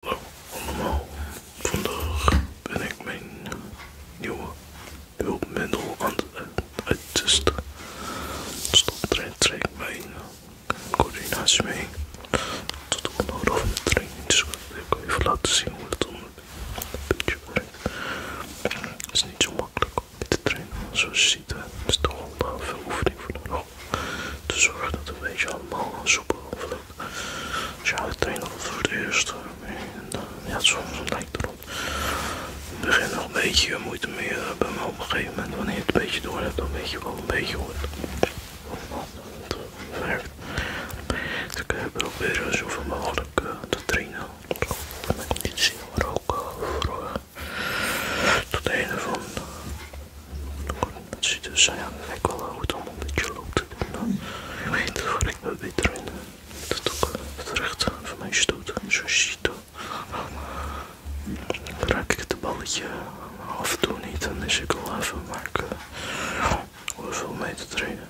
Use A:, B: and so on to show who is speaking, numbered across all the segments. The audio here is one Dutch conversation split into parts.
A: Hallo allemaal, vandaag ben ik mijn nieuwe hulpmiddel aan het uittesten. mee, trekt mijn coördinatie mee. Tot onnodig van de trein, dus ik kan even laten zien hoe het dan een beetje brengt. Het is niet zo makkelijk met te trainen zoals je ziet. Het is toch wel veel oefening voor nodig. te zorgen dat het een beetje allemaal soepel. Dus ja, ik train voor het eerst. Eh, ja, soms lijkt erop. Ik begin nog een beetje moeite meer bij op een gegeven moment. Wanneer je het een beetje door hebt, dan weet je wel een beetje hoe het werkt. Dus ik probeer zoveel mogelijk eh, te trainen. Mijn conditie, maar ook eh, voor tot het einde van dat ziet dus ja, lijkt wel goed om een beetje loop te doen. Je weet waar ik me beter in dat ook terecht van mij stoot. Zoals ziet, dan raak ik het balletje af en toe niet. Dan is ik al even, maken ik hoef veel mee te trainen.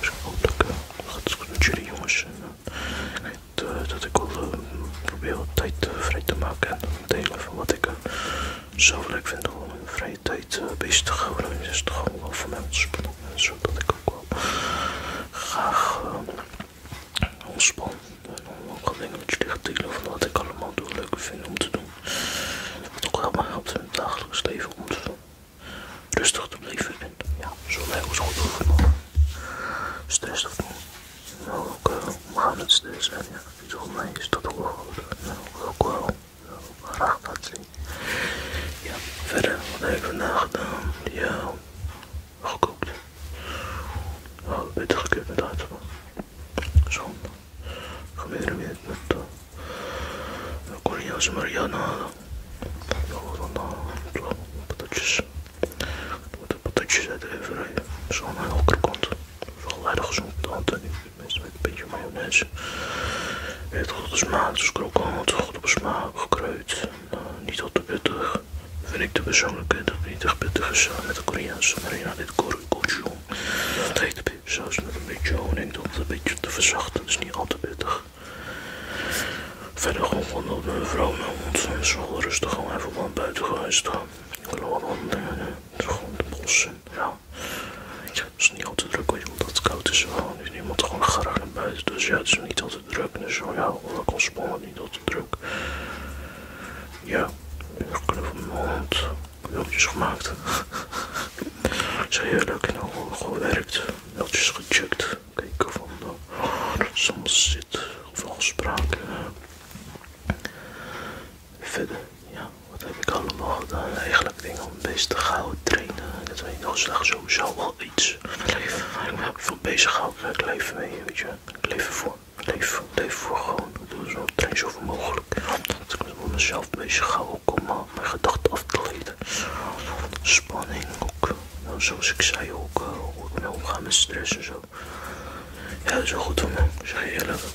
A: Dus hopelijk gaat het goed met jullie jongens. ik weet dat ik al probeer wat tijd vrij te maken en delen van wat ik zo leuk vind om in vrije tijd eh, bezig te houden. het is het gewoon wel voor mij ontspannen. En ik ook wel graag ontspannen. Eh, ontspan. En ook dingen met jullie te van wat ik allemaal doe, leuk vind om te doen. Wat ook helemaal helpt in het dagelijks leven om te doen. Rustig te blijven en ja, zo lekker als goed overal. Stress te voelen. Maar nou, ook eh, omgaan met stress en ja, volgens mij is dat wel goed. Nou, ook wel graag dat zien. Ja, verder, wat heb ik vandaag gedaan? Ja, gekookt. Oh, beter gekookt met hartslag. Zonde. Gebeuren weer met de uh, Koreaanse Marianne halen. Nog wat aan patatjes. Wat patatjes uit de overheid. Zo'n lekker komt. Wel weinig gezond, Antonie. Meestal met een beetje mayonaise. Heeft goed op smaak, dus krokant, goed op smaak, gekruid. niet al te pittig. Vind ik de persoonlijke niet echt pittig is met de Koreaanse marina, dit gochujang. Het heet de saus met een beetje honing om het een beetje te verzachten, het is niet al te pittig. Verder gewoon van op mijn vrouw mijn hond, rustig gewoon even wat buiten geweest gaan. Ik gewoon de bos in. Het is niet al te druk, weet je, het koud is. nu is niemand gewoon graag naar buiten. Dus ja, het is niet al te druk. Dus zo, oh ja, oh, ik ontspannen, niet te druk. Ja, ik knuf mijn hand. Wiltjes gemaakt. Zo leuk en al gewerkt. Wiltjes gecheckt. Kijken van nou, soms zit of afspraken. Verder, ja, wat heb ik allemaal gedaan? Eigenlijk dingen om bezig te gauw trainen. Dat weet ik nog zo sowieso wel iets. leven ik me veel bezig hou. Ik leef mee, weet je. Ik leef ervoor. Ik leef, voor gewoon. Ik doe zo, train zoveel mogelijk. Dat ik me mezelf bezig hou ook om eh, mijn gedachten af te leiden. Spanning ook. Nou, zoals ik zei ook, eh, hoe ik mee omga met stress en zo. Ja, dat is wel goed voor me, zeg je eerlijk.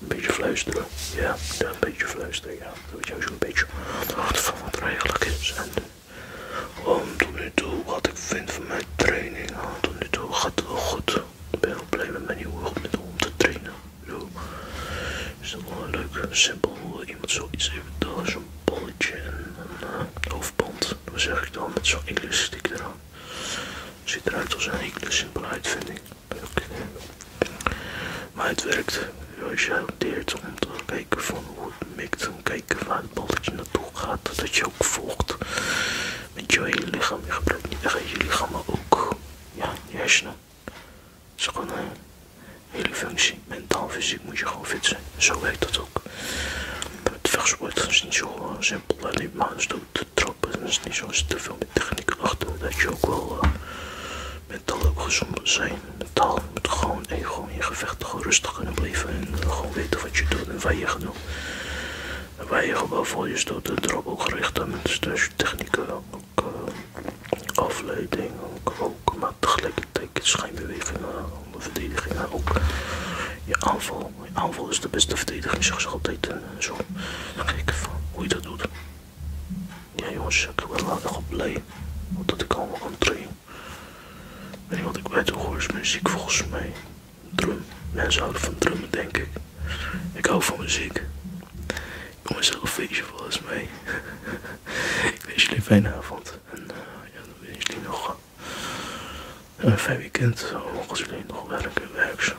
A: Een beetje fluisteren. Ja, een beetje fluisteren. Ja, dat weet je zo'n beetje hart van wat er eigenlijk is. En ehm, tot nu toe wat ik vind van mijn training. Tot nu toe gaat het wel goed. Ik ben heel blij met mijn nieuwe hulpmiddel om te trainen. Zo. Is dat wel leuk? Simpel eh, iemand zoiets heeft. Daar zo'n bolletje en een uh, hoofdband. Dat zeg ik dan met zo'n English stick eraan. Ziet eruit als een simpelheid simpele uitvinding. Maar het werkt. Als je hanteert om te kijken van hoe het mikt kijken waar het balletje naartoe gaat, dat je ook volgt met je hele lichaam. Je gebruikt je lichaam, ook ja, je hersenen. is gewoon een hele functie. Mentaal, fysiek moet je gewoon fit zijn. Zo werkt dat ook. Het vechtsport is niet zo simpel, alleen maar is dood er is niet zo te veel met techniek achter. Dat je ook wel met eh, mentaal ook gezond moet zijn. Mentaal moet gewoon, en gewoon in gevecht rustig kunnen blijven. En eh, gewoon weten wat je doet en waar je gaat doen. waar je gewoon voor je stoot erop ook gericht aan Dus je technieken ook eh, afleiding. Ook, ook, maar tegelijkertijd schijnbewegingen, onder verdedigingen. Ook je aanval. Je aanval is de beste verdediging, zeg ze altijd. Zo, dan kijk van hoe je dat doet. Ja jongens, ik ben wel gewoon blij dat ik allemaal kan train Weet je wat ik bij toe hoor is muziek volgens mij. Drum. Mensen houden van drummen denk ik. Ik hou van muziek. Ik kom een feestje volgens mij. ik wens jullie een fijne avond. En eh, ja, dan wens jullie nog een fijn weekend. volgens jullie nog werken, werk